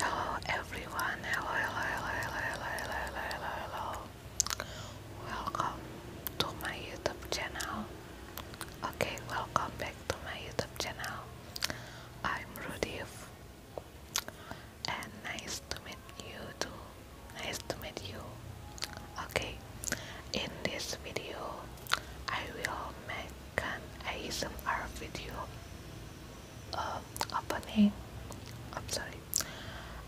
Hello everyone, hello, hello, hello, hello, hello, hello, hello, hello, Welcome to my YouTube channel. Okay, welcome back to my YouTube channel. I'm Rudiv and nice to meet you too. Nice to meet you. Okay, in this video I will make an ASMR video uh, opening I'm sorry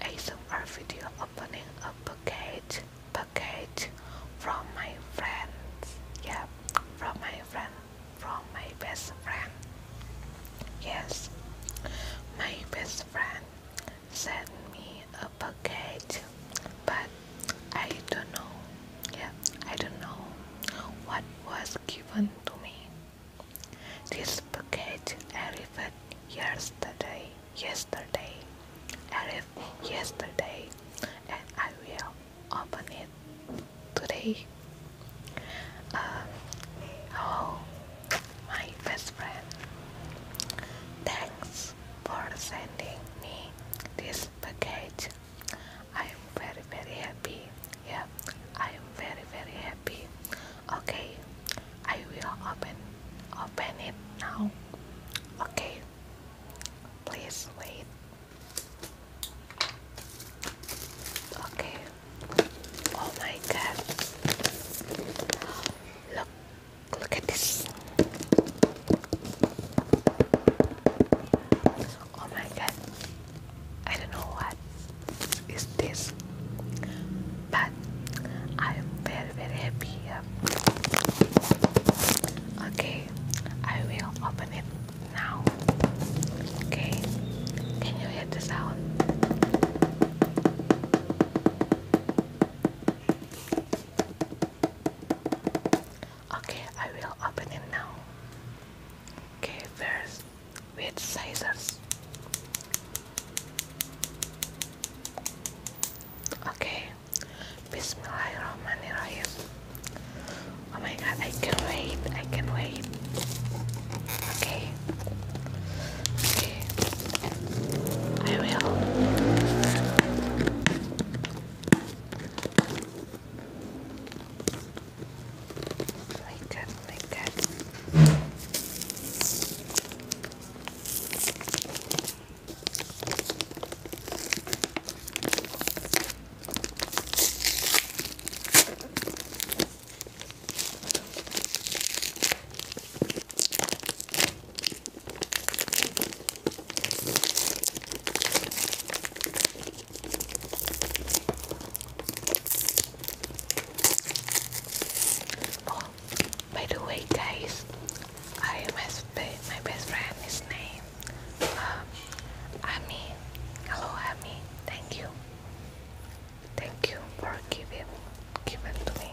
ASMR video opening a package package from my friends yeah from my friend from my best friend yes my best friend sent me a package but I don't know yeah I don't know what was given to me. This package arrived yesterday, yesterday, arrived yesterday, and I will open it today. Um, my best friend. Thanks for sending me this package. I'm very very happy yeah I am very very happy okay I will open open it now okay please wait okay oh my god look look at this Oh my god. I don't know what is this. But I am very very happy Okay, I will open it now. Okay, can you hear the sound? Okay, I will open it now. Okay, first with scissors. Okay, Bismillahirrahmanirrahim. Oh my god, I can wait, I can wait. Okay, okay, I will. Like it, like it. Oh, by the way, guys, I must my best friend is named um, Amy. Hello, Ami. Thank you. Thank you for giving giving to me.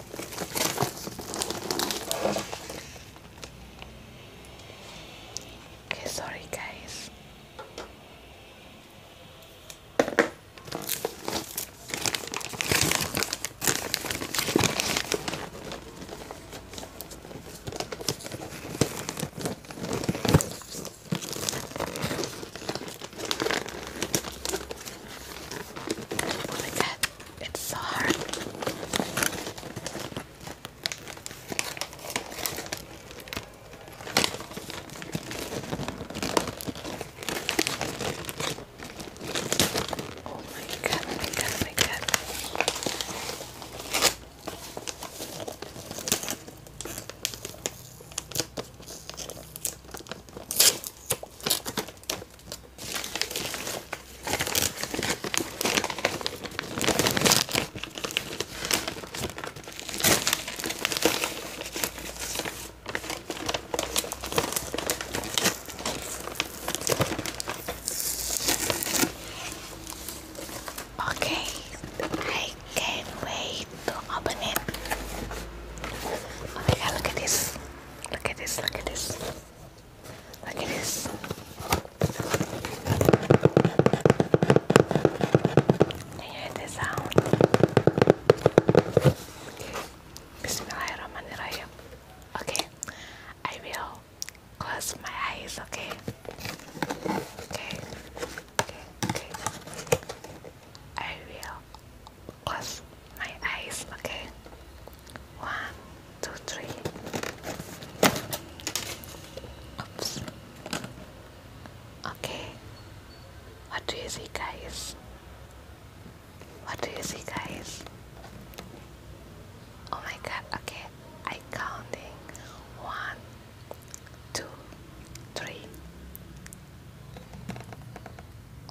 Okay, sorry guys. Oh my god, it's so hard. Oh my god, oh my god, oh my god. Okay, I can't wait to open it. Oh my look at this. Look at this, look at this. Look at this. Can you hear the sound? Bismillahirrahmanirrahim. Okay, I will close my eyes, okay? Okay, okay, okay. I will close my eyes, okay? One, two, three. Oops. Okay. What do you see, guys? What do you see, guys? Oh my god, okay. I counting one, two, three,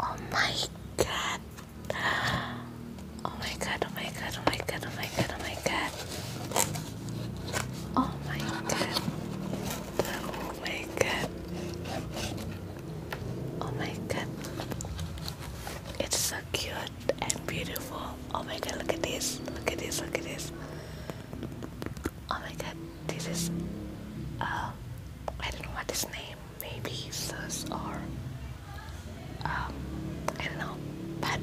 Oh my god. Oh my god, oh my god, oh my god, oh my god, oh my god. Oh my god. Oh my god. Oh my god. It's so cute and beautiful. Oh my god, look at this. Look at this, look at this. Oh my god, this is uh I don't know what his name maybe sus or um, I don't know. But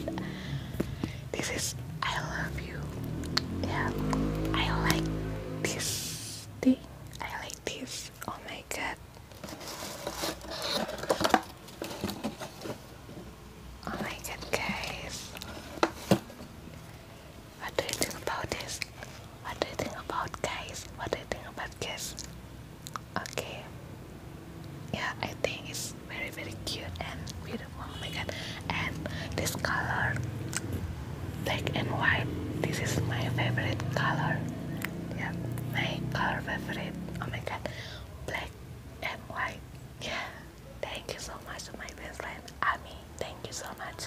this is I love you. Yeah, I like this thing. I like this. Oh my god. Oh my god, guys. What do you think about this? What do you think about guys? What do you think about guys? Okay. Yeah, I think it's very very cute and beautiful. Oh my god. And this color black and white. This is my favorite color. Yeah, my color favorite. Oh my god. Black and white. Yeah. Thank you so much to my best friend Amy. Thank you so much.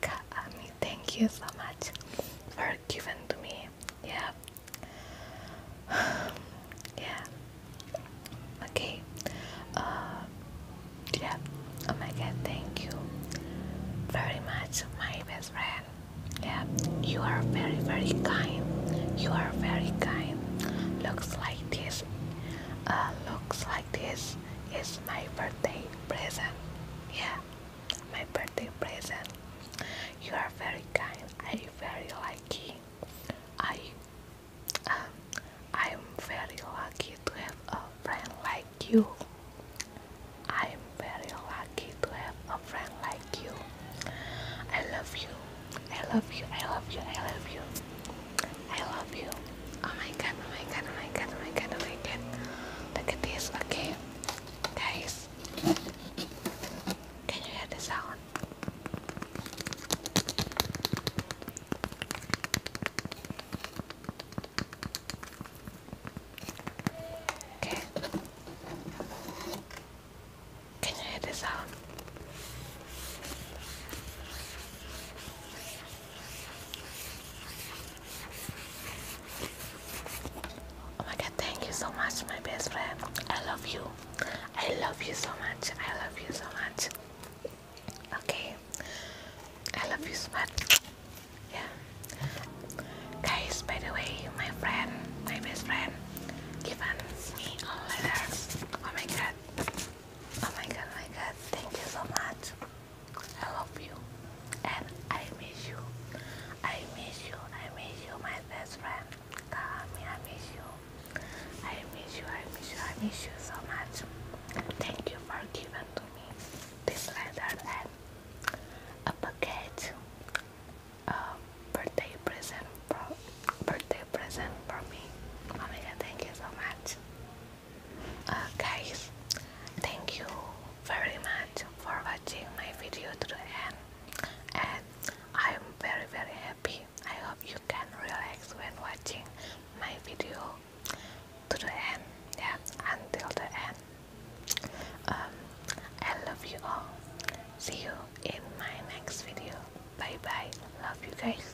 Kaami, thank you so much for giving to me. Yeah. yeah. Okay. Uh, yeah. Oh my god, thank you very much, my best friend. Yeah, you are very, very kind. You are very kind. Looks like this. Uh, looks like this is my birthday present. Yeah my birthday present. You are very kind. I very lucky. I um, I'm very lucky to have a friend like you. I'm very lucky to have a friend like you. I love you. I love you. I love you. I love you. I love you. Oh my god, oh my god, oh my god, oh my god, oh my god. Look at this, okay? Guys, can you hear this sound? Okay. Can you hear the sound? Oh my god, thank you so much, my best friend. I love you. I love you so much. I love you so much. Okay. I love you so much. Yeah. Guys, by the way, my friend, my best friend, given me all letters. Oh my god. Oh my god, Oh my god. Thank you so much. I love you and I miss you. I miss you. I miss you, my best friend. Kami, I miss you. I miss you. I miss you. I miss you so much. Thank you for giving to me this letter and a package, a birthday present for birthday present for me. Oh thank you so much. Uh, guys, thank you very much for watching watching my video to the end and I'm very very happy. I hope you can relax when watching my video to the end. Yeah, until the end. Um, I love you all. See you in my next video. Bye bye. Love you guys.